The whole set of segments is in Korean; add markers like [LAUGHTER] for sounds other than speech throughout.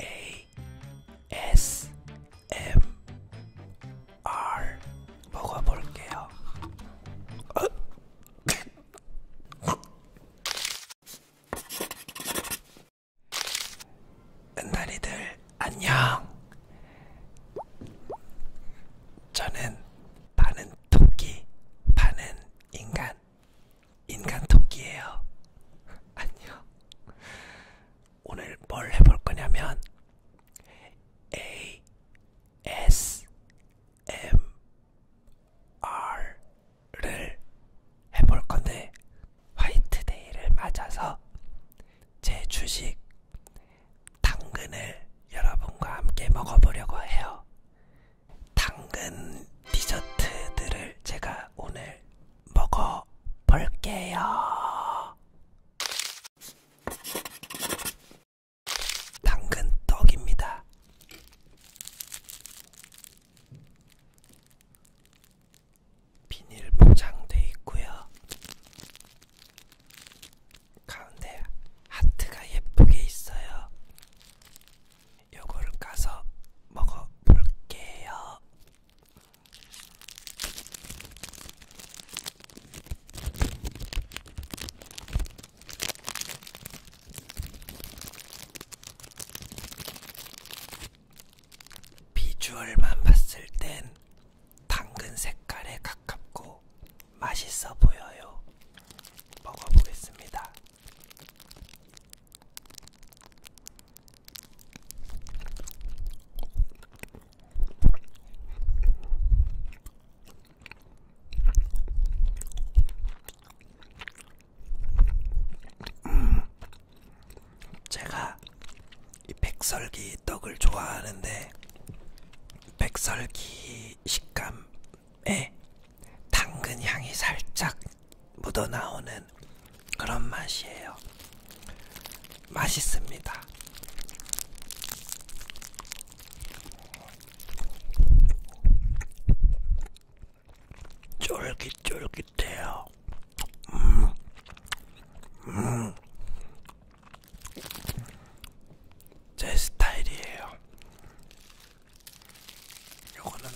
A S M R 먹어볼게요. 어? 은달이들 안녕. 저는 반은 토끼, 반은 인간. 인간 토끼예요. 안녕. [LAUGHS] 오늘 뭘 해볼 거냐면 A S M R를 해볼 건데 화이트데이를 맞아서 제 주식 당근을 여러분과 함께 먹어보려고 해요. 당근 디저트들을 제가 오늘 먹어 볼게요. 당근 떡입니다. 비닐 포장돼 있고요. 가운데 하트가 예쁘게 있어요. 요거를 까서 먹어볼게요. 비주얼만 봤을 땐 당근 색깔에 가깝고 맛있어 보여요. 먹어보겠습니다. 제가 이 백설기 떡을 좋아하는데 백설기 식감 에 예, 당근 향이 살짝 묻어나오는 그런 맛이에요. 맛있습니다. 쫄깃쫄깃해요. 음. 음. 제 스타일이에요. 요거는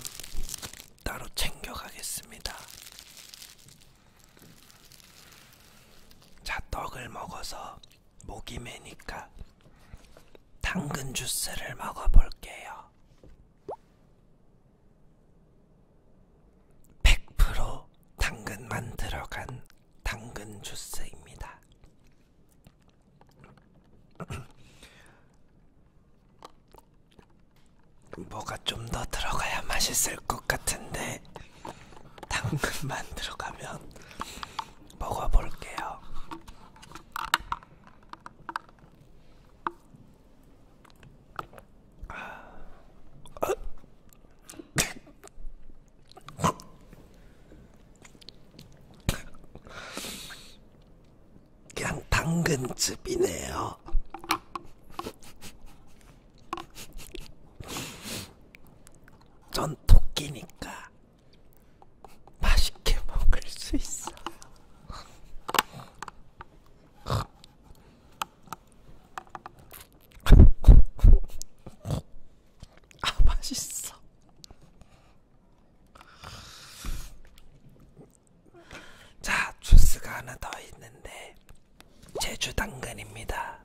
따로 챙겨가겠습니다. 자, 떡을 먹어서 목이 메니까 당근 주스를 먹어볼게요. 100% 당근만 들어간 당근 주스입니다. [CLEARS THROAT] 뭐가 좀 더 들어가야 맛있을 것 같은데 당근만 [LAUGHS] 들어가면 먹어볼게요. 아, 어? 그냥 당근즙이네요. 전 토끼니까 맛있게 먹을 수 있어. 아, 맛있어. 자, 주스가 하나 더 있는데 제주 당근입니다.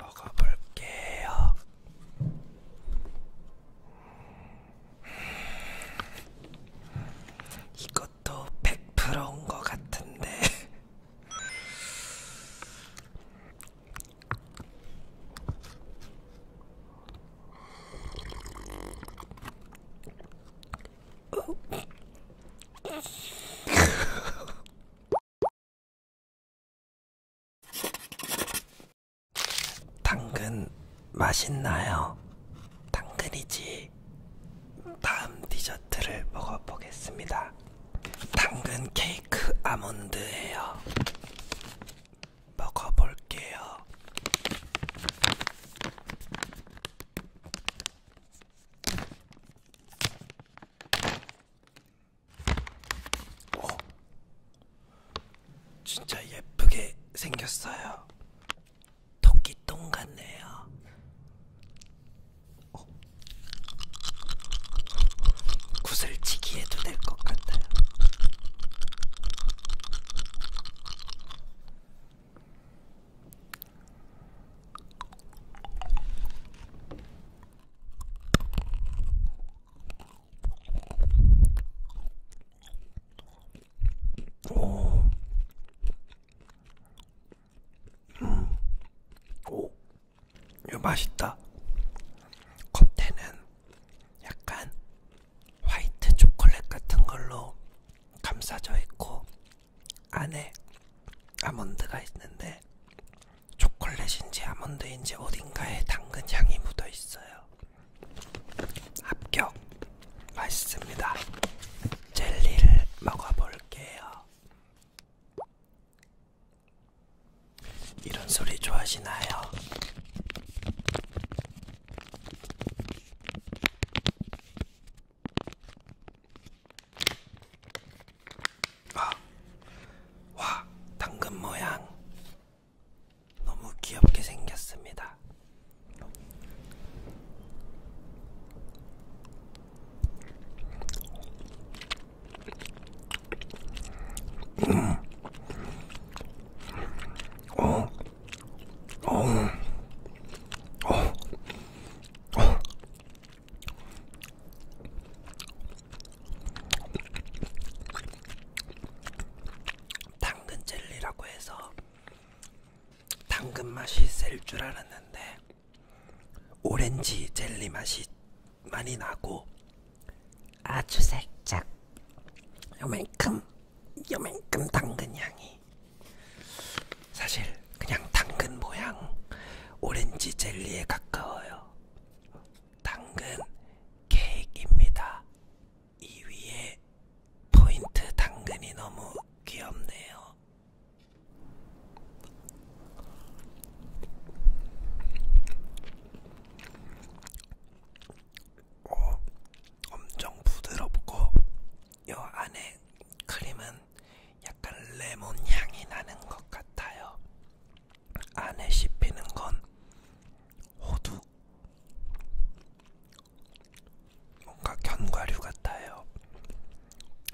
먹어볼게요. 이것도 100%인 것 같은데. [LAUGHS] 당근 맛있나요? 당근이지. 다음 디저트를 먹어보겠습니다. 당근 케이크 아몬드예요. 먹어볼게요. 오, 진짜 예쁘게 생겼어요. 토끼똥 같네요. 오. 구슬치기 해도 될 것 같아요. 오. 음. 오. 이거 맛있다. 겉에는 약간 화이트 초콜릿 같은 걸로 감싸져 있고 안에 아몬드가 있는데 초콜릿인지 아몬드인지 어딘가에 당근 향이 묻어 있어요. 합격! 맛있습니다. 젤리를 먹어볼게요. 이런 소리 좋아하시나요? 아, 와, 당근 모양 너무 귀엽게 생겼습니다. 음. 어. 어. 어. 어. 당근 젤리라고 해서 당근 맛이 셀 줄 알았는데 오렌지 젤리 맛이 많이 나고 아주 살짝 요만큼 요만큼 당근 향이 사실 그냥 당근 모양 오렌지 젤리에 가까워요. 당근 케이크입니다. 이 위에 포인트 당근이 너무 귀엽네요. 오, 어, 엄청 부드럽고 요 안에 크림은 약간 레몬 향이 나는 것 같아요. 안에 씹히는 건 호두. 뭔가 견과류 같아요.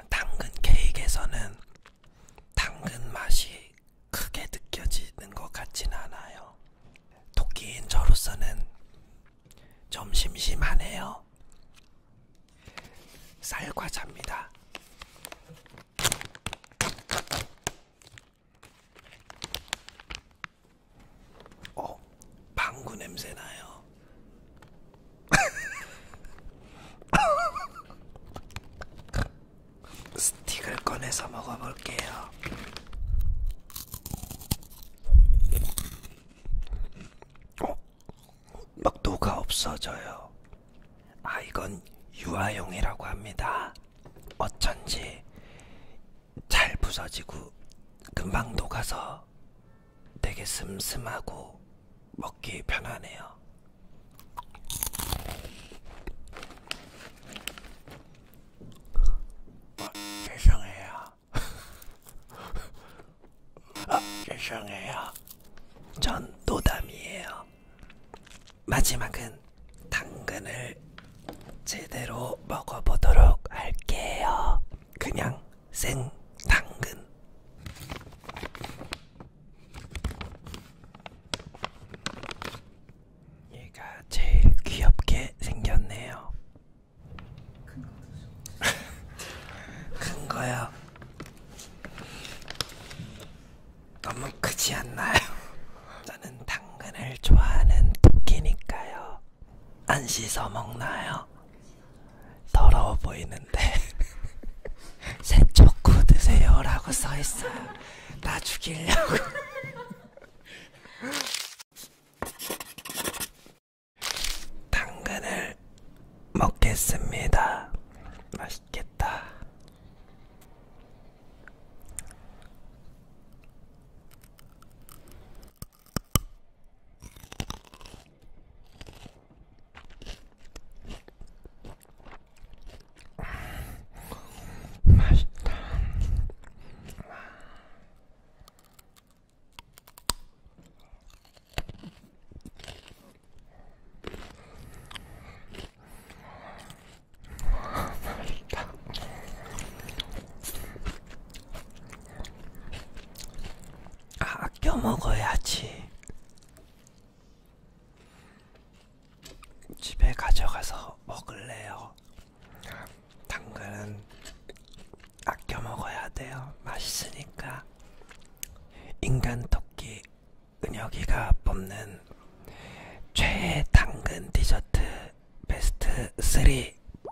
당근 케이크에서는 당근 맛이 크게 느껴지는 것 같진 않아요. 토끼인 저로서는 좀 심심하네요. 쌀과자입니다. 어, 방구 냄새 나요. [LAUGHS] 스틱을 꺼내서 먹어볼게요. 어? 막 녹아 없어져요. 아 이건 유아용이라고 합니다. 어쩐지 잘 부서지고 금방 녹아서 되게 슴슴하고 먹기 편하네요. 어, 죄송해요. 아, 죄송해요. 전 노담이에요. 마지막은 당근을 제대로 먹어보도록 할게요. 그냥 생 당근. 얘가 제일 귀엽게 생겼네요. 큰 거요. 너무 크지 않나요? 저는 당근을 좋아하는 토끼니까요. 안 씻어 먹나요? 더러워 보이는데 [LAUGHS] 새초코 드세요라고 써 있어요. 나 죽이려고. [LAUGHS] 당근을 먹겠습니다. 맛있겠다. 맛있다. 아, 아껴 먹어야지. 집에 가져가서 먹을래요. 당근은 아껴 먹어야 돼요. 맛있으니까. 인간 토끼 은혁이가 뽑는 최애 당근 디저트 베스트 3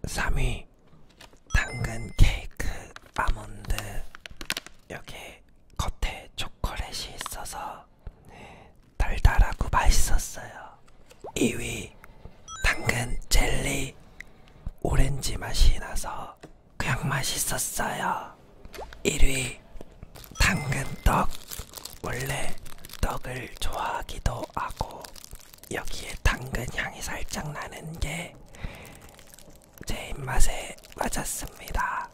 3위 당근 케이크 아몬드 여기 겉에 초콜릿이 있어서 네, 달달하고 맛있었어요. 2위 당근 젤리 오렌지 맛이 나서 그냥 맛있었어요. 1위 당근떡 원래 떡을 좋아하기도 하고 여기에 당근 향이 살짝 나는 게 제 입맛에 맞았습니다.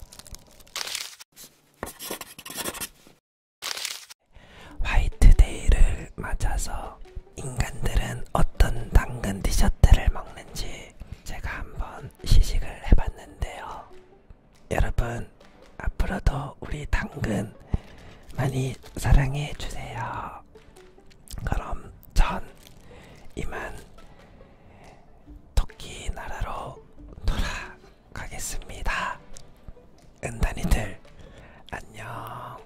화이트데이를 맞아서 인간들은 어떤 당근 디저트를 먹는지 제가 한번 시식을 해봤는데요. 여러분, 앞으로도 우리 당근 많이 사랑해주세요. 그럼 전 이만 토끼 나라로 돌아가 가겠습니다. 은단이들 안녕.